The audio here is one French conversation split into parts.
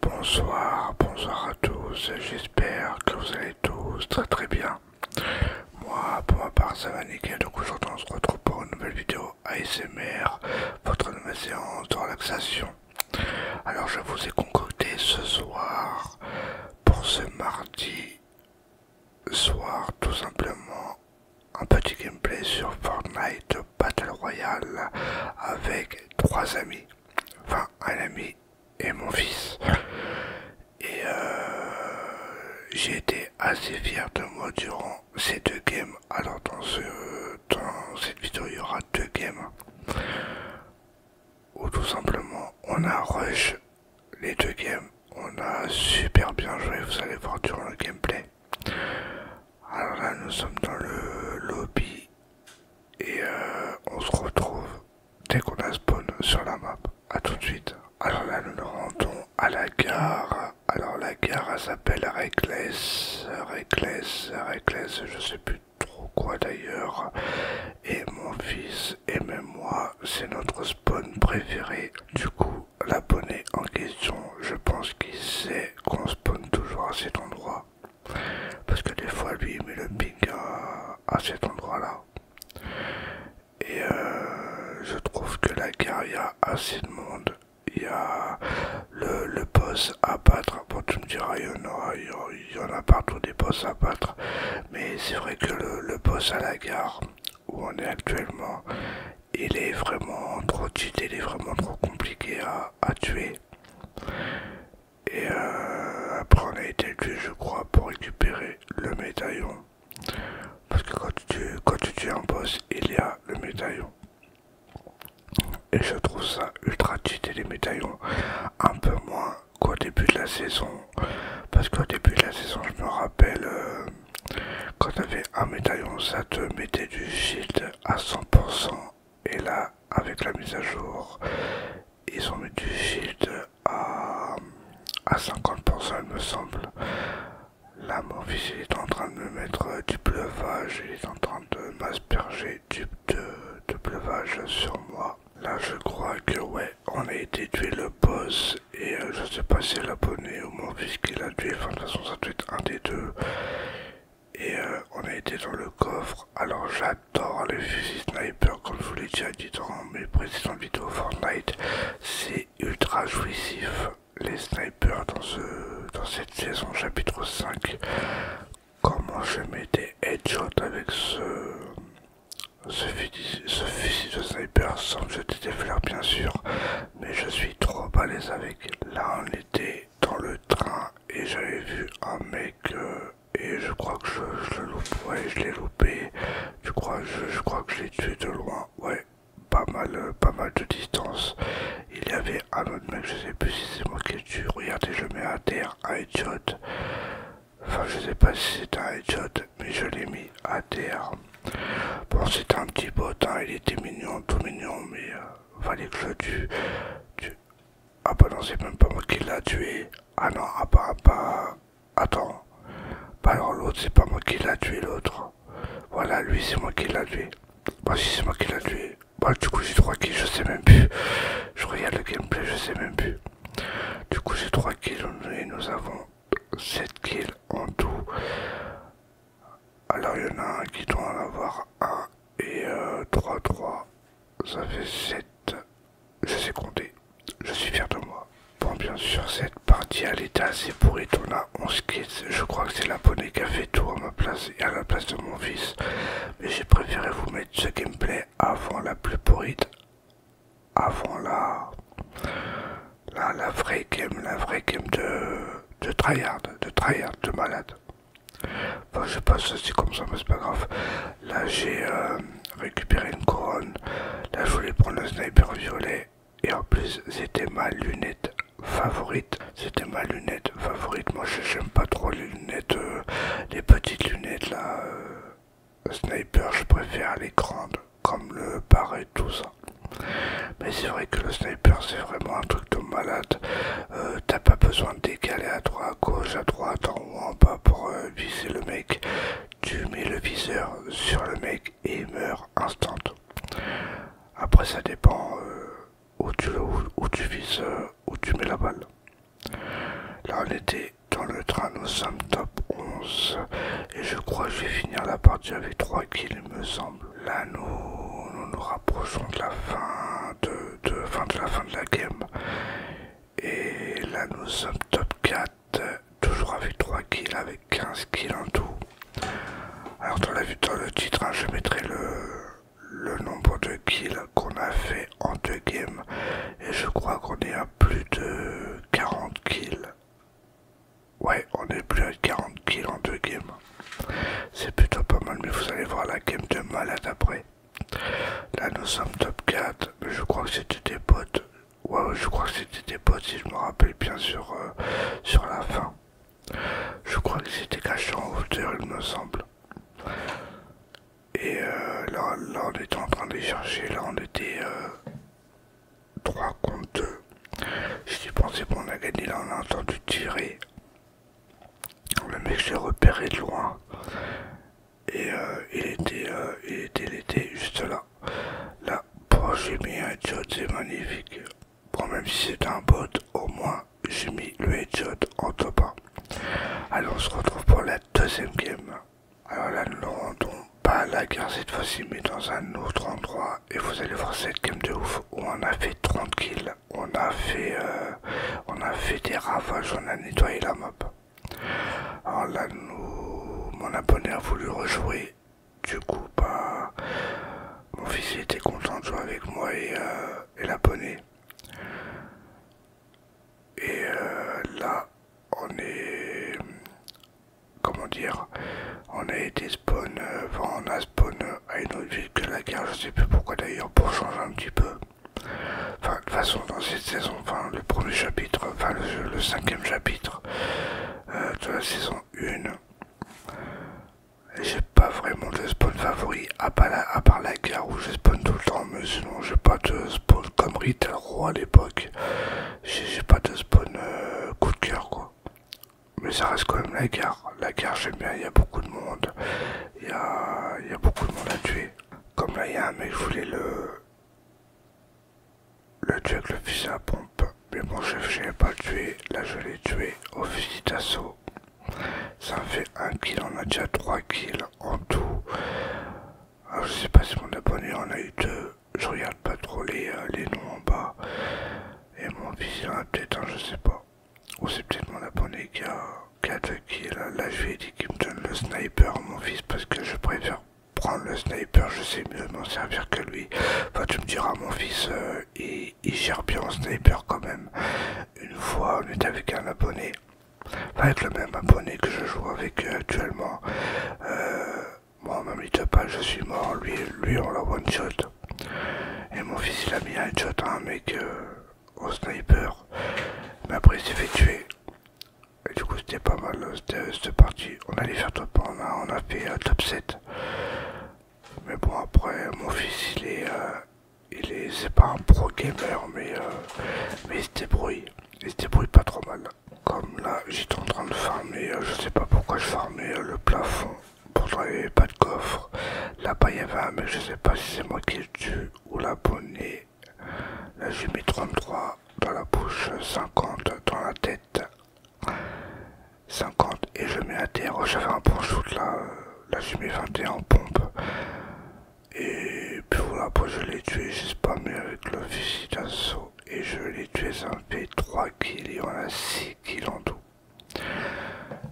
Bonsoir, bonsoir à tous, j'espère que vous allez tous très très bien. Moi, pour ma part, ça va nickel, donc aujourd'hui on se retrouve pour une nouvelle vidéo ASMR, votre nouvelle séance de relaxation. Alors je vous ai concocté ce soir, pour ce mardi soir, tout simplement un petit gameplay sur Fortnite Battle Royale avec trois amis, enfin un ami et mon fils. Et euh, j'ai été assez fier de moi durant ces deux games. Alors dans, dans cette vidéo il y aura deux games ou tout simplement on a rush les deux games. On a super bien joué, vous allez voir durant le gameplay. Alors là, nous sommes dans le lobby et euh, on se retrouve dès qu'on a spawn sur la map. à tout de suite. Alors là, nous nous rendons à la gare. Alors la gare, elle s'appelle Reckless, Reckless, Reckless, je sais plus trop quoi d'ailleurs. Et mon fils et même moi, c'est notre spawn préféré. Du coup, l'abonné en question, je pense qu'il sait qu'on spawn toujours à cet endroit. Parce que des fois, lui, il met le ping à, cet endroit-là. Et euh, je trouve que la guerre il y a assez de monde. Il y a le, boss à battre. Bon, tu me diras, il y, en a, il y en a partout des boss à battre, mais c'est vrai que le, boss à la gare où on est actuellement, il est vraiment trop cheat, il est vraiment trop compliqué à, tuer. Et euh, après, on a été tué, je crois, pour récupérer le médaillon. Parce que quand tu, quand tu tues un boss, il y a le médaillon. Et je trouve ça ultra cheaté les médaillons. Un peu moins qu'au début de la saison. Parce qu'au début de la saison, je me rappelle, euh, quand j'avais un médaillon, ça te mettait du shield à 100%. Et là, avec la mise à jour, ils ont mis du shield à, 50%, il me semble. Là, mon fils est en train de me mettre du pleuvage il est en train de m'asperger du de, de pleuvage sur moi. Là je crois que ouais, on a été tué le boss et euh, je sais pas si l'abonné moins puisqu'il a tué, enfin de toute façon ça doit être un des deux. Et euh, on a été dans le coffre, alors j'adore les fusils sniper comme je vous l'ai déjà dit dans mes précédentes vidéos Fortnite, c'est ultra jouissif les snipers dans, ce, dans cette saison chapitre 5 comment je m'étais des avec ce, ce, fusil de sniper sans jeter des bien sûr, mais je suis trop balèze avec. Là on était dans le train et j'avais vu un mec euh, et je crois que je, je l'ai loupé, je crois, je, crois que je l'ai tué de loin, ouais pas mal, euh, pas mal de distance. Il y avait ah un autre mec, je sais plus si c'est moi qui le tué Regardez, je mets à terre, un headshot. Enfin, je sais pas si c'est un headshot, mais je l'ai mis à terre. Bon, c'était un petit bot, hein, il était mignon, tout mignon, mais euh, fallait que je le tue. Ah bah non, c'est même pas moi qui l'a tué. Ah non, ah bah, ah bah... Attends. Bah alors l'autre, c'est pas moi qui l'a tué, l'autre. Voilà, lui, c'est moi qui l'a tué. Bah si, c'est moi qui l'a tué. Bah, du coup, j'ai 3 kills, je sais même plus. Je regarde le gameplay, je sais même plus. Du coup, j'ai 3 kills et nous avons 7 kills en tout. Alors, il y en a un qui doit en avoir 1 et 3-3. Euh, Ça fait 7. Je sais compter. Je suis fier de moi. Bon, bien sûr, cette partie à l'état, c'est pourri. On a 11 kills. Je crois que c'est la bonne qui tout à ma place et à la place de mon fils, mais j'ai préféré vous mettre ce gameplay avant la plus pourrite, avant la, la, vraie game, la vraie game de, tryhard, de tryhard, de malade. Enfin, je passe aussi comme ça, mais c'est pas grave. Là, j'ai euh, récupéré une couronne. Là, je voulais prendre le sniper violet. Et en plus, c'était ma lunette favorite. C'était ma lunette favorite. Moi, j'aime pas trop les lunettes, euh, les petites lunettes là. Euh, sniper, je préfère les grandes, comme le bar et tout ça. Mais c'est vrai que le sniper, c'est vraiment un truc de malade. Euh, t'as pas besoin de décaler à droite, à gauche, à droite, en haut, en bas pour viser le mec. Tu mets le viseur sur le mec et il meurt instant. Après, ça dépend où tu, vises, euh, où tu mets la balle. Là, on était dans le train, nous sommes top 11. Et je crois que je vais finir la partie avec 3 kills, il me semble. Là, nous nous, rapprochons de la fin de, fin de la fin de la game. Et là, nous sommes top 4, toujours avec 3 kills, avec 15 kills en tout. Alors, dans, la, dans le titre, hein, je mettrai le, le nombre de kills qu'on a fait en deux games et je crois qu'on est à plus de 40 kills. Ouais, on est plus à 40 kills en deux games. C'est plutôt pas mal, mais vous allez voir la game de malade après. Là, nous sommes top 4, mais je crois que c'était des potes. Ouais, je crois que c'était des potes, si je me rappelle bien sur euh, la fin. Je crois que c'était caché en hauteur, il me semble. Et euh, là, on était en train de chercher. Là, on était 3 euh, contre 2. J'ai pensé qu'on a gagné. Là, on a entendu tirer. Le mec, je repéré de loin. Et euh, il, était, était, juste là. Là, oh, j'ai mis un c'est magnifique. Bon, même si c'est un bot, au moins j'ai mis le headshot en top 1. Alors on se retrouve pour la deuxième game. Alors là, nous ne rendons pas la guerre cette fois-ci, mais dans un autre endroit. Et vous allez voir cette game de ouf où on a fait 30 kills, on a fait, euh, on a fait des ravages, on a nettoyé la map. Alors là, nous, mon abonné a voulu rejouer. Du coup, bah, mon fils était content de jouer avec moi et, l'abonné euh, et la Et euh, là, on est. Comment dire On a été spawn. Euh, enfin, on a spawn à une autre ville que la guerre, je sais plus pourquoi d'ailleurs, pour changer un petit peu. Enfin, de toute façon, dans cette saison, enfin, le premier chapitre, enfin, le, cinquième chapitre de la saison 1. J'ai pas vraiment de spawn favori à part la, à gare où je spawn tout le temps, mais sinon j'ai pas de spawn comme Rita Roi à l'époque. J'ai pas de spawn euh, coup de cœur quoi. Mais ça reste quand même la gare. La guerre j'aime bien, il y a beaucoup de monde. Il y a, beaucoup de monde à tuer. Comme là il y a un mec, je voulais le, le tuer avec le fusil à pompe. Mais mon chef, je l'ai pas tué. Là, je l'ai tué au fusil d'assaut. Ça fait un kill, on a déjà 3 kills en tout. Ah, je sais pas si mon abonné en a eu deux. Je regarde pas trop les, euh, noms en bas. Et mon fils a peut-être un, je sais pas. Ou c'est peut-être mon abonné qui a, qui kills. Là, je lui ai dit qu'il me donne le sniper, mon fils, parce que je préfère prendre le sniper. Je sais mieux m'en servir que lui. Enfin, tu me diras, mon fils, euh, il gère bien en sniper quand même. Une fois, on était avec un abonné, enfin, avec le même abonné que je joue avec euh, actuellement. moi, euh, même il te pas, je suis mort. Lui, lui on l'a one shot. Et mon fils, il a mis un shot à un mec euh, au sniper. Mais après, il s'est fait tuer. Et du coup, c'était pas mal cette partie. On allait faire top on a, fait un top 7. Mais bon, après, mon fils, il est. Euh, c'est pas un pro gamer, euh, mais. il se débrouille. Il se débrouille pas trop mal. Comme là, j'étais en train de farmer. Euh, je sais pas pourquoi je farmais le plafond. Pourtant, il pas de coffre. Là-bas, il y avait un je sais pas si c'est moi qui le tue ou l'abonné. Là, j'ai mis 33 dans la bouche, 50 dans la tête. 50 et je mets à terre. J'avais un bon shoot là, euh, là j'ai mis 21 en pompe. Et puis voilà, après je l'ai tué, j'ai mais avec le fusil d'assaut et je l'ai tué, ça fait 3 kills et on a 6 kills en tout.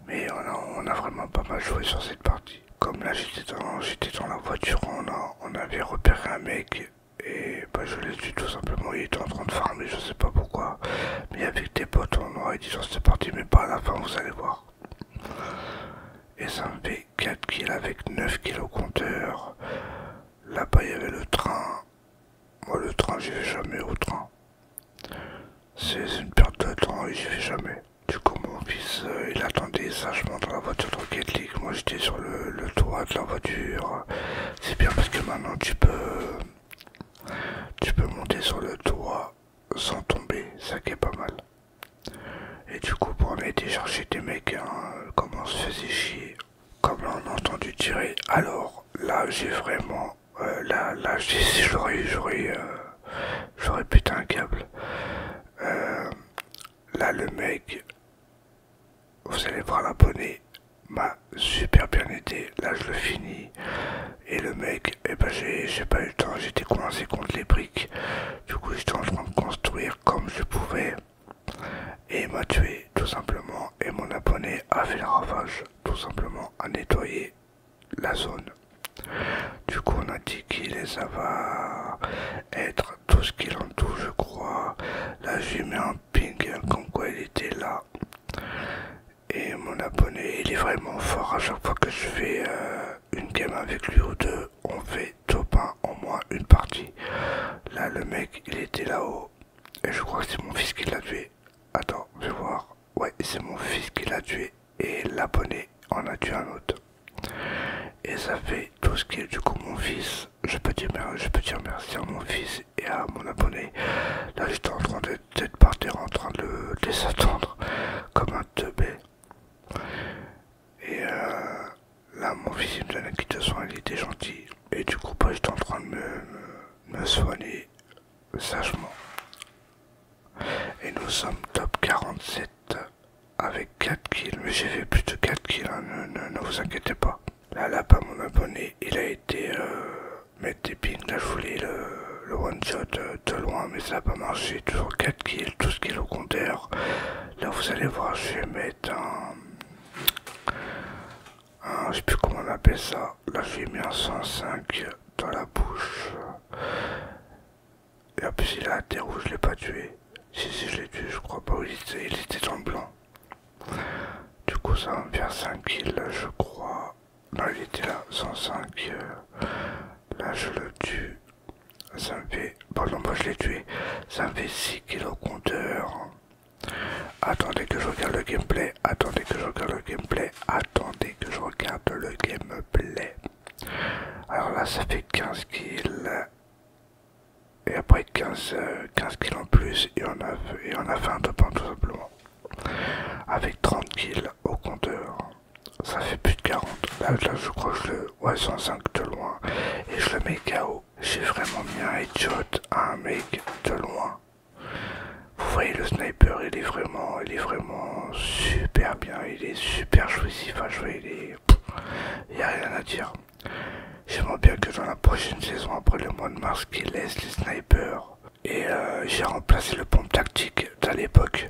Mais on a, vraiment pas mal joué sur cette partie. Comme là j'étais dans, dans la voiture, on, a, on avait repéré un mec et bah, je l'ai tué tout simplement, il était en train de farmer, je sais pas pourquoi. Mais avec des potes, on ils disons c'est parti, mais pas à la fin, vous allez voir. Et ça me fait 4 kills avec 9 kills au compteur. Là-bas, il y avait le train. Moi, le train, j'y vais jamais au train. C'est une perte de temps et j'y vais jamais. Du coup, mon fils, euh, il attendait sagement dans la voiture de Rocket League. Moi, j'étais sur le, le toit de la voiture. C'est bien parce que maintenant, tu peux tu peux monter sur le toit sans tomber, ça qui est pas mal. Et du coup, pour a été chercher des mecs, hein, comment comme on se faisait chier, comme on a entendu tirer, alors là j'ai vraiment. Euh, là, si j'aurais j'aurais putain euh, un câble. Euh, là, le mec, vous allez prendre la poney m'a super bien aidé. Là, je le finis. Et le mec, et eh ben, j'ai pas eu le temps, j'étais coincé contre les briques. Du coup, j'étais en train de construire comme je pouvais. Et m'a tué, tout simplement. Et mon abonné a fait le ravage, tout simplement, à nettoyer la zone. Du coup, on a dit qu'il les ça va être tout ce qu'il en tout je crois. Là, j'ai mis un ping comme quoi il était là. Et mon abonné, il est vraiment fort. À chaque fois que je fais euh, une game avec lui ou deux, on fait top 1 en moins une partie. Là, le mec, il était là-haut. Et je crois que c'est mon fils qui l'a tué. Attends, je vais voir. Ouais, c'est mon fils qui l'a tué. Et l'abonné en a tué un autre. Et ça fait tout ce qui est du coup mon fils. Je peux je peux dire merci à mon fils et à mon abonné. Là j'étais en train d'être par terre en train de les attendre comme un teubé. Et euh, là mon fils il me donne soin, il était gentil. Et du coup bah, j'étais en train de me, soigner sagement. Et nous sommes top 47 avec 4 kills, mais j'ai fait plus de 4 kills, hein, ne vous inquiétez pas. Là, là, pas mon abonné, il a été euh, mettre des pings. Là, je le, one-shot euh, de loin, mais ça n'a pas marché. Toujours 4 kills, 12 kills au compteur. Là, vous allez voir, je vais mettre un. je sais plus comment on appelle ça. Là, vais mettre un 105 dans la bouche. Et en plus, il a un je l'ai pas tué. Si, si, je l'ai tué, je crois pas. où Il était, il était dans le blanc. Du coup, ça me faire 5 kills, je crois. Non, il était là, 105. Euh, là, je le tue. Ça me fait. Pardon, moi je l'ai tué. Ça me fait 6 kills au compteur. Attendez que je regarde le gameplay. Attendez que je regarde le gameplay. Attendez que je regarde le gameplay. Alors là, ça fait 15 kills et après 15, kills en plus et on, a, a fait un top 1 tout simplement avec 30 kills au compteur ça fait plus de 40 là, je crois le 105 de loin et je le mets KO j'ai vraiment bien un headshot à un mec de loin vous voyez le sniper il est vraiment il est vraiment super bien il est super jouissif à jouer il est il n'y a rien à dire J'aimerais bien que dans la prochaine saison, après le mois de mars, qu'ils laissent les snipers. Et euh, j'ai remplacé le pompe tactique d'à l'époque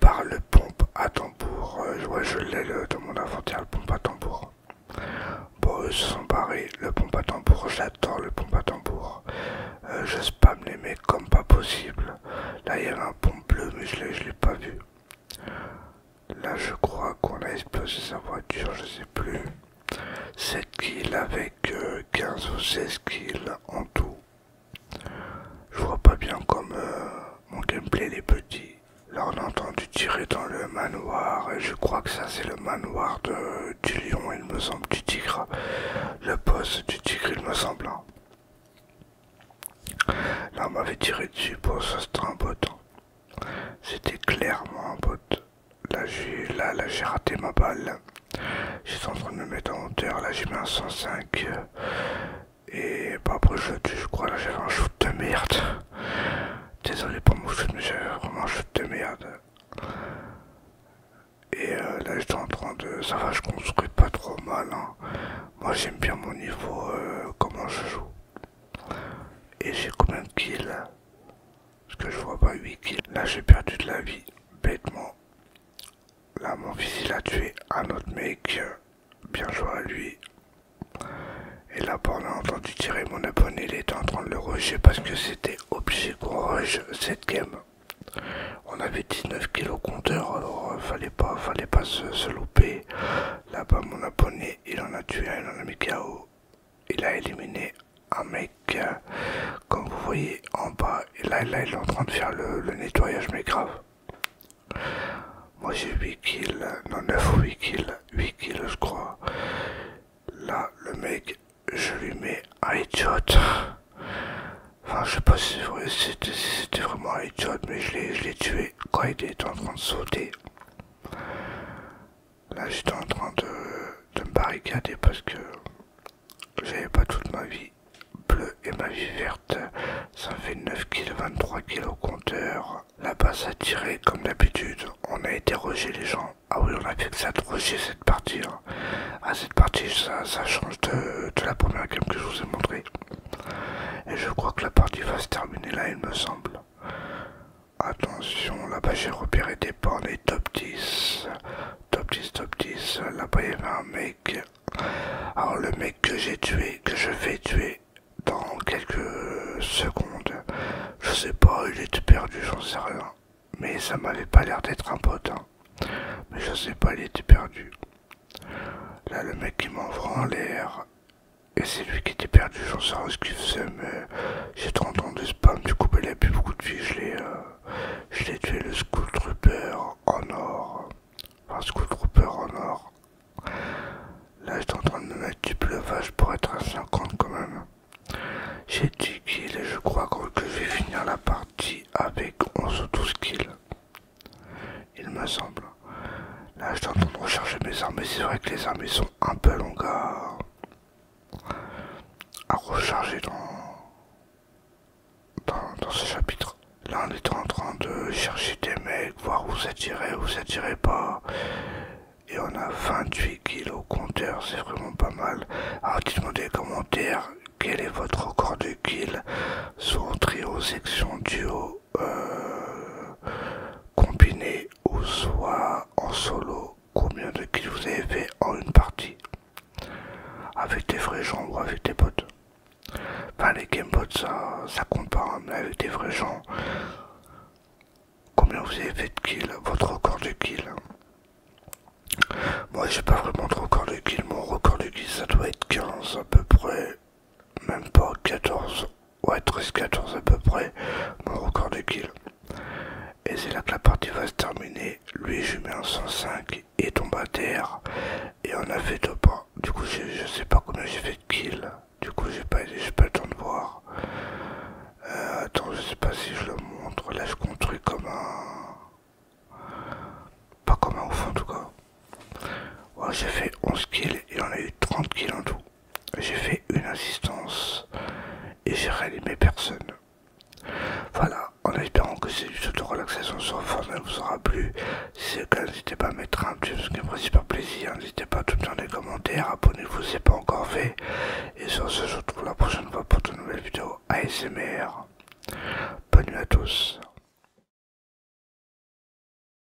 par le pompe à tambour. Je euh, vois, je l'ai dans mon inventaire, le pompe à tambour. Bon, ils se sont barrés. Le pompe à tambour, j'adore le pompe à tambour. Euh, je spam les mecs comme pas possible. Là, il y avait un pompe bleu, mais je l'ai pas vu. Là, je crois qu'on a explosé sa voiture, je sais plus. 7 kills avec 15 euh, ou 16 kills en tout. Je vois pas bien comme euh, mon gameplay les petits. Là, on a entendu tirer dans le manoir, et je crois que ça, c'est le manoir de, du lion, il me semble, du tigre. Le poste du tigre, il me semble. Hein. Là, on m'avait tiré dessus pour ça, c'était un bot. Hein. C'était clairement un bot. Là j'ai là, j'ai raté ma balle. J'étais en train de me mettre en hauteur, là j'ai mis un 105 et bah, après je, je crois là j'avais un shoot de merde. Désolé pour mon shoot mais j'avais vraiment un shoot de merde. Et euh, là j'étais en train de. ça va je construis pas trop mal hein. Moi j'aime bien mon niveau euh, comment je joue. Et j'ai combien de kills parce que je vois pas 8 kills. Là j'ai perdu de la vie, bêtement. Là mon fils il a tué un autre mec. Bien joué à lui. Et là on a entendu tirer mon abonné, il était en train de le rusher parce que c'était obligé qu'on rush cette game. On avait 19 kills au compteur, alors euh, fallait pas, fallait pas se, se louper. Là-bas mon abonné, il en a tué un, il en a mis KO il a éliminé un mec euh, comme vous voyez en bas et là, il est en train de faire le, nettoyage mais grave moi j'ai 8 kills non 9 ou 8 kills 8 kills je crois là le mec je lui mets un idiot enfin je sais pas si c'était vraiment un idiot mais je l'ai tué quand il était en train de sauter Là j'étais en train de, me barricader parce que j'avais pas toute ma vie bleue et ma vie verte. Ça fait 9 kg, 23 kg au compteur. Là-bas ça tirait comme d'habitude. On a été les gens. Ah oui on a fait que ça de cette partie. Hein. Ah cette partie ça, ça change de, la première game que je vous ai montré, Et je crois que la partie va se terminer là il me semble. Attention, là-bas j'ai repéré des pornes et top 10. Top 10, top 10. Là-bas il y avait un mec. Alors le mec que j'ai tué, que je vais tuer dans quelques secondes. Je sais pas, il était perdu, j'en sais rien. Mais ça m'avait pas l'air d'être un pote. Hein. Mais je sais pas, il était perdu. Là le mec qui m'envoie en l'air. Et c'est lui qui était perdu, j'en sais rien ce qu'il faisait, mais j'ai 30 ans de spam, du coup il a plus beaucoup de vie, je l'ai euh, tué le School Trooper en or. Enfin School Trooper en or. Là j'étais en train de me mettre du pleuvage pour être à 50 quand même. J'ai 10 kills et je crois que je vais finir la partie avec 11 ou 12 kills. Il me semble. Là, j'étais en train de rechercher mes armes, mais c'est vrai que les armes sont un peu long, à, recharger dans, dans, ce chapitre. Là, on est en train de chercher des mecs, voir où ça tirait, où ça pas. Et on a 28 kills au compteur, c'est vraiment pas mal. Alors dites-moi des commentaires, quel est votre record de kills, sur aux trio, section, duo euh, combiné ou soit en solo, combien de kills vous avez fait en une partie avec des vrais gens ou avec des bots. Enfin, les gamebots, ça, ça compte pas, hein, mais avec des vrais gens, combien vous avez fait de kills, votre record de kills. Moi, j'ai pas vraiment de record de kills, mon record de kills, ça doit être 15 à peu près, même pas 14 ouais 13-14 à peu près, mon record de kill. Et c'est là que la partie va se terminer. Lui, je mets un 105, et tombe à terre, et on a fait deux pas. Du coup, je, sais pas combien j'ai fait de kills, du coup, j'ai pas, pas le temps de voir. Euh, attends, je sais pas si je le montre. Là, je construis comme un. Pas comme un ouf en tout cas. Ouais, j'ai fait 11 kills et on a eu 30 kills en tout. J'ai fait une assistance et j'ai réanimé personne. Voilà, en espérant que cette vidéo de relaxation sur forme vous aura plu. Si c'est le cas, n'hésitez pas à mettre un petit me fait super plaisir. N'hésitez pas à tout dans les commentaires, abonnez-vous si ce n'est pas encore fait. Et sur ce, je vous retrouve la prochaine fois pour de nouvelles vidéos ASMR. Bonne nuit à tous.